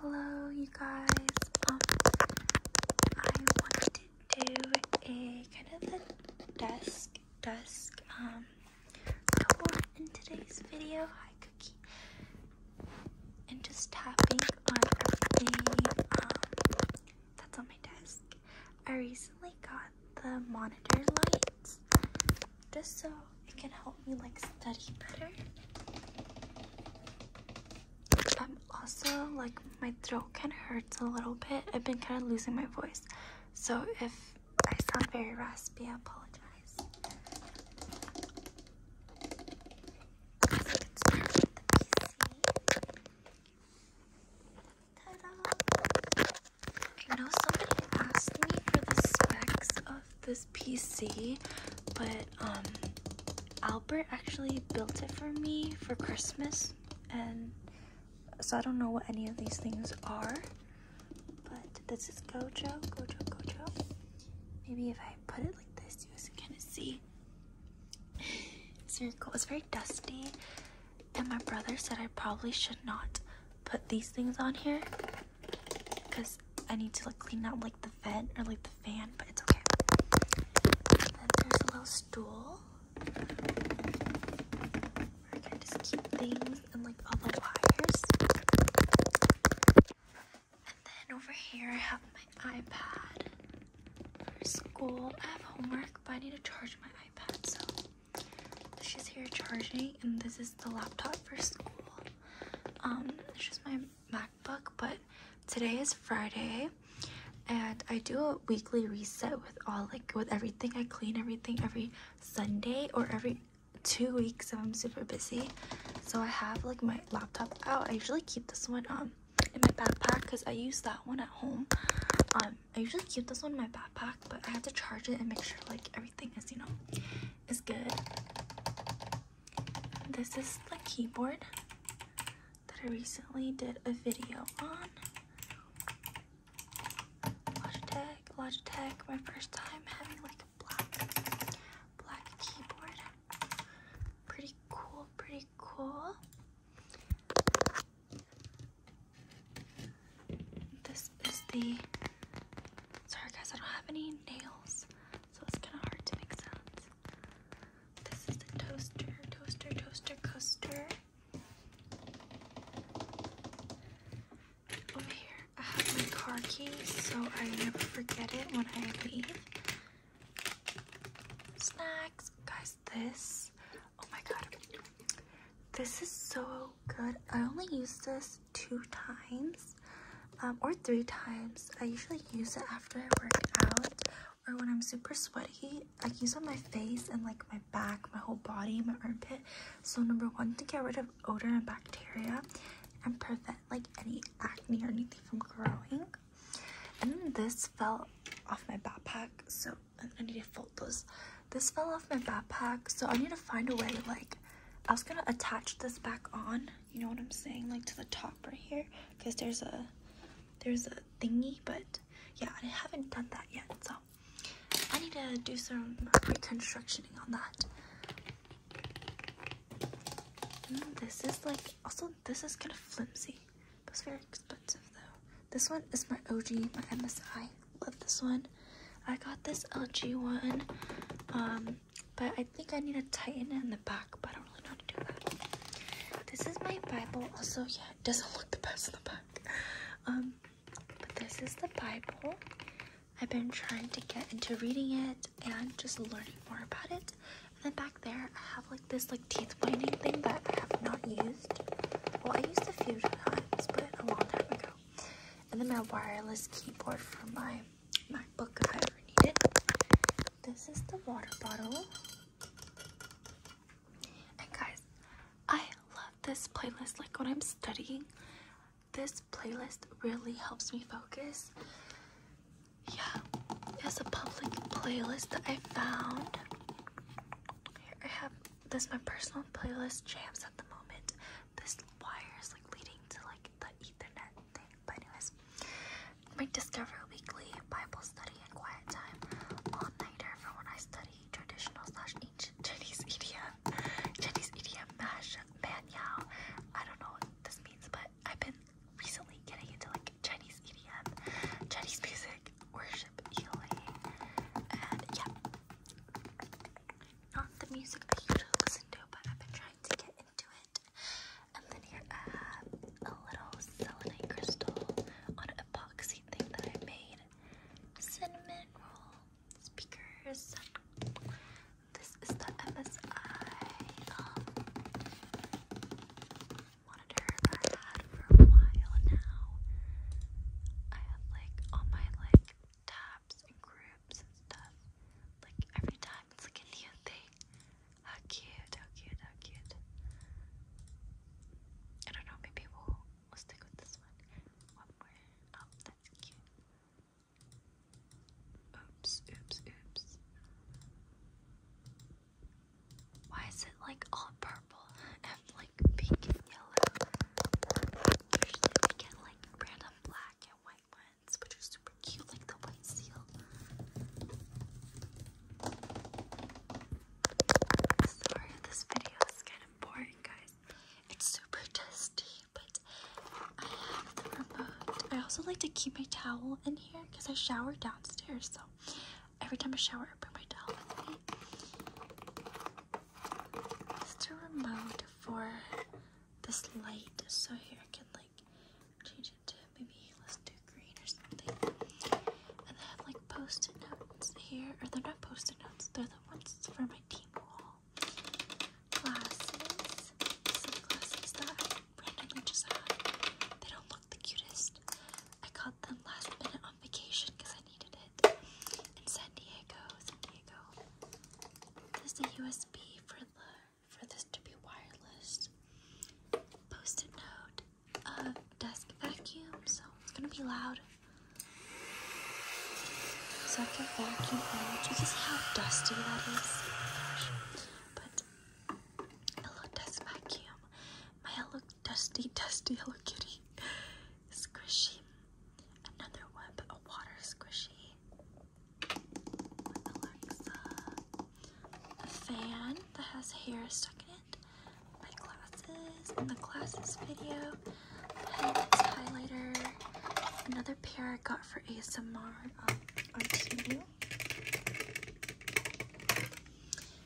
Hello, you guys. Um, I wanted to do a kind of a desk, desk, um, tour in today's video. Hi, Cookie. And just tapping on everything um, that's on my desk. I recently got the monitor lights just so it can help me like study better. I'm also like my throat kind of hurts a little bit. I've been kind of losing my voice. So if I sound very raspy, I apologize. I know somebody asked me for the specs of this PC, but um, Albert actually built it for me for Christmas, and so I don't know what any of these things are. But this is Gojo, Gojo, Gojo. Maybe if I put it like this, you guys can see. It's very dusty, and my brother said I probably should not put these things on here because I need to like clean out like the vent or like the fan, but it's okay. then there's a little stool. Where I can just keep things and like all the wires. And then over here I have my iPad for school. I have homework, but I need to charge my iPad, so she's here charging and this is the laptop for school. Um, it's just my MacBook, but today is Friday and I do a weekly reset with all like with everything. I clean everything every Sunday or every two weeks if I'm super busy. So I have like my laptop out. I usually keep this one um in my backpack because I use that one at home. Um, I usually keep this one in my backpack, but I have to charge it and make sure like everything is, you know, is good. This is the keyboard that I recently did a video on. Logitech, my first time having like a black, black keyboard. Pretty cool, pretty cool. This is the, sorry guys, I don't have any nails so it's kind of hard to make sounds. This is the toaster, toaster, toaster, coaster. Over here, I have my car key, so I never forget it when I leave. Snacks, guys. This, oh my god, this is so good. I only use this two times um, or three times. I usually use it after I work out or when I'm super sweaty. I use it on my face and like my back, my whole body, my armpit. So number one, to get rid of odor and bacteria and prevent like any acne or anything from growing. And this fell off my backpack, so I need to fold those. This fell off my backpack, so I need to find a way like I was gonna attach this back on you know what I'm saying like to the top right here because there's a there's a thingy but yeah I haven't done that yet so I need to do some reconstructioning on that mm, this is like also this is kind of flimsy but it's very expensive though this one is my OG my MSI love this one I got this LG one um but I think I need to tighten it in the back, but I don't really know how to do that. This is my Bible. Also, yeah, it doesn't look the best in the back. Um, but this is the Bible. I've been trying to get into reading it and just learning more about it. And then back there, I have like this like teeth whitening thing that I have not used. Well, I used a few times, but a long time ago. And then my wireless keyboard for my my book if I ever need it. This is the water bottle. And guys, I love this playlist. Like when I'm studying, this playlist really helps me focus. Yeah, it's a public playlist that I found. Here I have this my personal playlist jams at the moment this wire is like leading to like the Ethernet thing. But anyways, my Discover Weekly Bible study and quiet time all-nighter for when I study traditional slash ancient Chinese idiom, Chinese idiom mash man I don't know what this means, but I've been recently getting into like Chinese idiom, Chinese music, worship, healing, and yeah. Not the music I usually listen to, but I've been trying to get into it. And then here I a little selenite crystal on an epoxy thing that I made. Cinnamon roll speakers. This is the MSI um, monitor I've had for a while now. I have like on my like tab and groups and stuff. Like every time it's like a new thing. How cute, how cute, how cute. I don't know, maybe we'll, we'll stick with this one. One more. Oh, that's cute. Oops, oops, oops. Why is it like all purple and like pink and yellow? Usually we get like random black and white ones. Sorry, this video is kind of boring, guys. It's super dusty, but I have the remote. I also like to keep my towel in here because I shower downstairs, so every time I shower, I bring my towel with me. It's a remote for this light, so here I can like change it to maybe let's do green or something. And I have like post-it notes here, or they're not post-it notes, they're the ones for my team wall. Glasses, sunglasses that randomly just They don't look the cutest. I got them last minute on vacation because I needed it in San Diego. San Diego. This the U.S. USB for the for this to be wireless. Post-it note, uh, desk vacuum, so it's gonna be loud. So after vacuum out, you can see how dusty that is. But hello desk vacuum, my hello dusty dusty Hello Kitty, squishy Another one, but a water squishy. Alexa. A fan that has hair stuck in it. My glasses in the glasses video. highlighter. Another pair I got for ASMR on YouTube.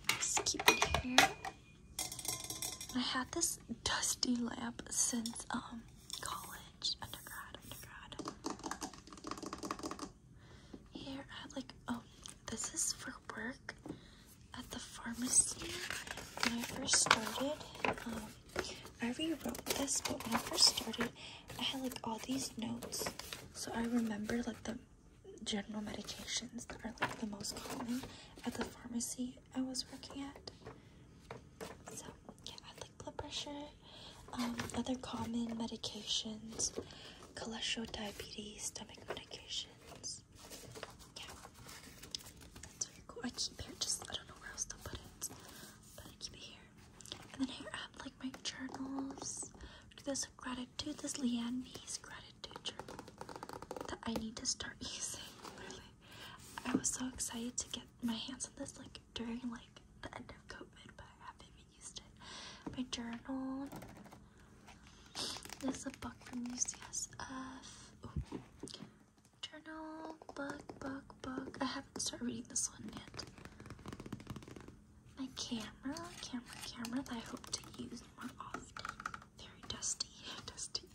Just keep I had this dusty lamp since um college undergrad, undergrad. Here at uh, like, oh, this is for work at the pharmacy. When I first started, um, I rewrote this, but when I first started, I had like all these notes. So I remember like the general medications that are like the most common at the pharmacy I was working at. So yeah, like blood pressure, um, other common medications, cholesterol, diabetes, stomach medications. Yeah, that's very cool. I keep it just, I don't know where else to put it, but I keep it here. And then here I have like my journals. This gratitude, this Leanne Me's gratitude journal that I need to start using. I was so excited to get my hands on this like during like the end of COVID, but I haven't even used it. My journal. This is a book from UCSF. Journal, book, book, book. I haven't started reading this one yet. My camera, camera, camera that I hope to use more often. Very dusty, dusty.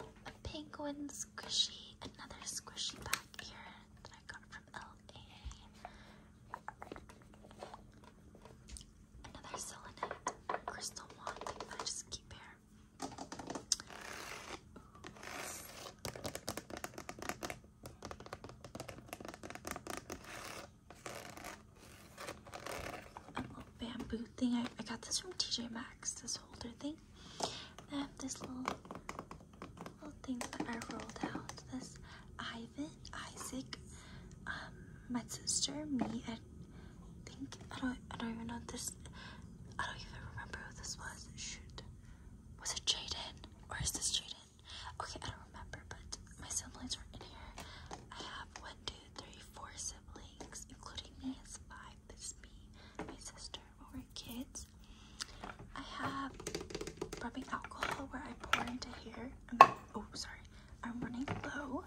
A penguin squishy another squishy back here that I got from LA. Another selenite crystal wand I just keep here. A little bamboo thing. I got this from TJ Maxx, this holder thing. I have this little little thing that I rolled out. This Ivan, Isaac, um, my sister, me, I think I don't I don't even know this I don't even remember who this was. Shoot. Was it Jaden? Or is this Jaden? Okay, I don't remember, but my siblings were in here. I have one, two, three, four siblings, including me. It's five. This is me, my sister, or kids. I have rubbing alcohol where I pour into hair. oh, sorry. I'm running low.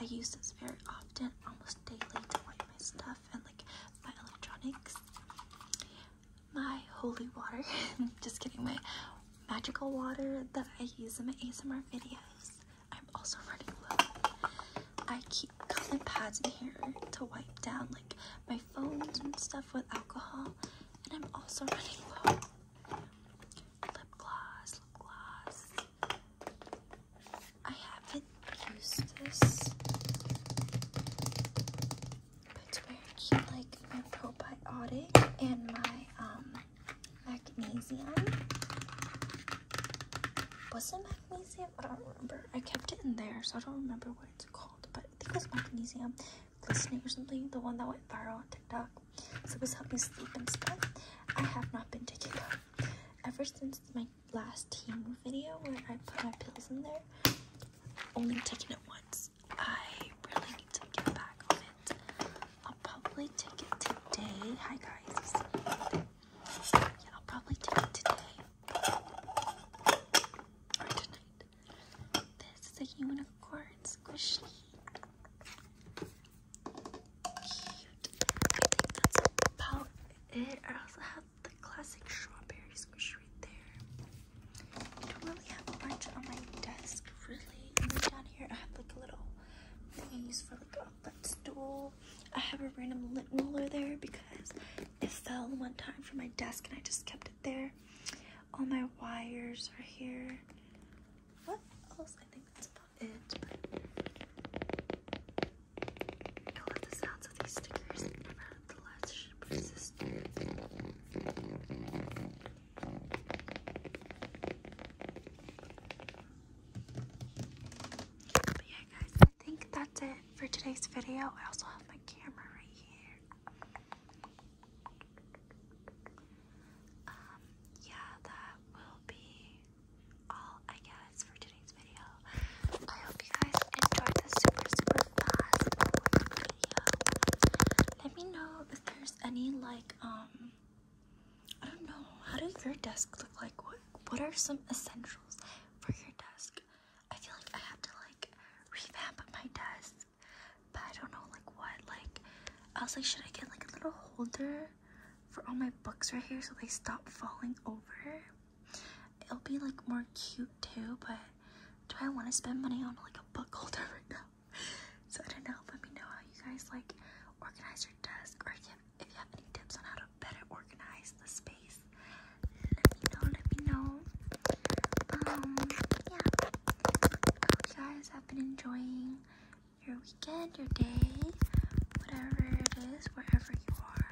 I use this very often, almost daily, to wipe my stuff and like my electronics. My holy water. Just kidding. My magical water that I use in my ASMR videos. I'm also running low. I keep keep cotton pads in here to wipe down like my phones and stuff with alcohol. And I'm also running low. Lip gloss, lip gloss. I haven't used this. But it's like my probiotic and my um magnesium. What's the magnesium? I don't remember. I kept it in there, so I don't remember what it's called, but I think it was magnesium glistening or something, the one that went viral on TikTok. So it was helping sleep and stuff. I have not been taking it ever since my last team video where I put my pills in there. only taking it once. I really need to get back on it. I'll probably take it today. Hi guys. Yeah, I'll probably take it today for tonight. This is a unicorn squishy. that's about it. I also have the classic strawberry squish right there. I don't really have much on my desk, really. And then down here, I have like a little thing I use for like a footstool. I have a random lint roller there because it fell one time from my desk and I just kept it there. All my wires are here. What else? I think that's about it. I love the sounds of these stickers. the last ship resistor. But yeah, guys, I think that's it for today's video. I also have my camera right here. Um, yeah, that will be all, I guess, for today's video. I hope you guys enjoyed this super, super fast video. Let me know if there's any, like, um, I don't know, how does your desk look like? What, what are some essentials? for your desk. I feel like I have to like revamp my desk, but I don't know like what. Like I was like, should I get like a little holder for all my books right here so they stop falling over? It'll be like more cute too, but do I want to spend money on like a book holder right now? so I don't know. Let me know how you guys like organize your desk or if you have any tips on how to better organize the space, let me know, let me know. Um, yeah. I hope you guys have been enjoying your weekend, your day, whatever it is, wherever you are.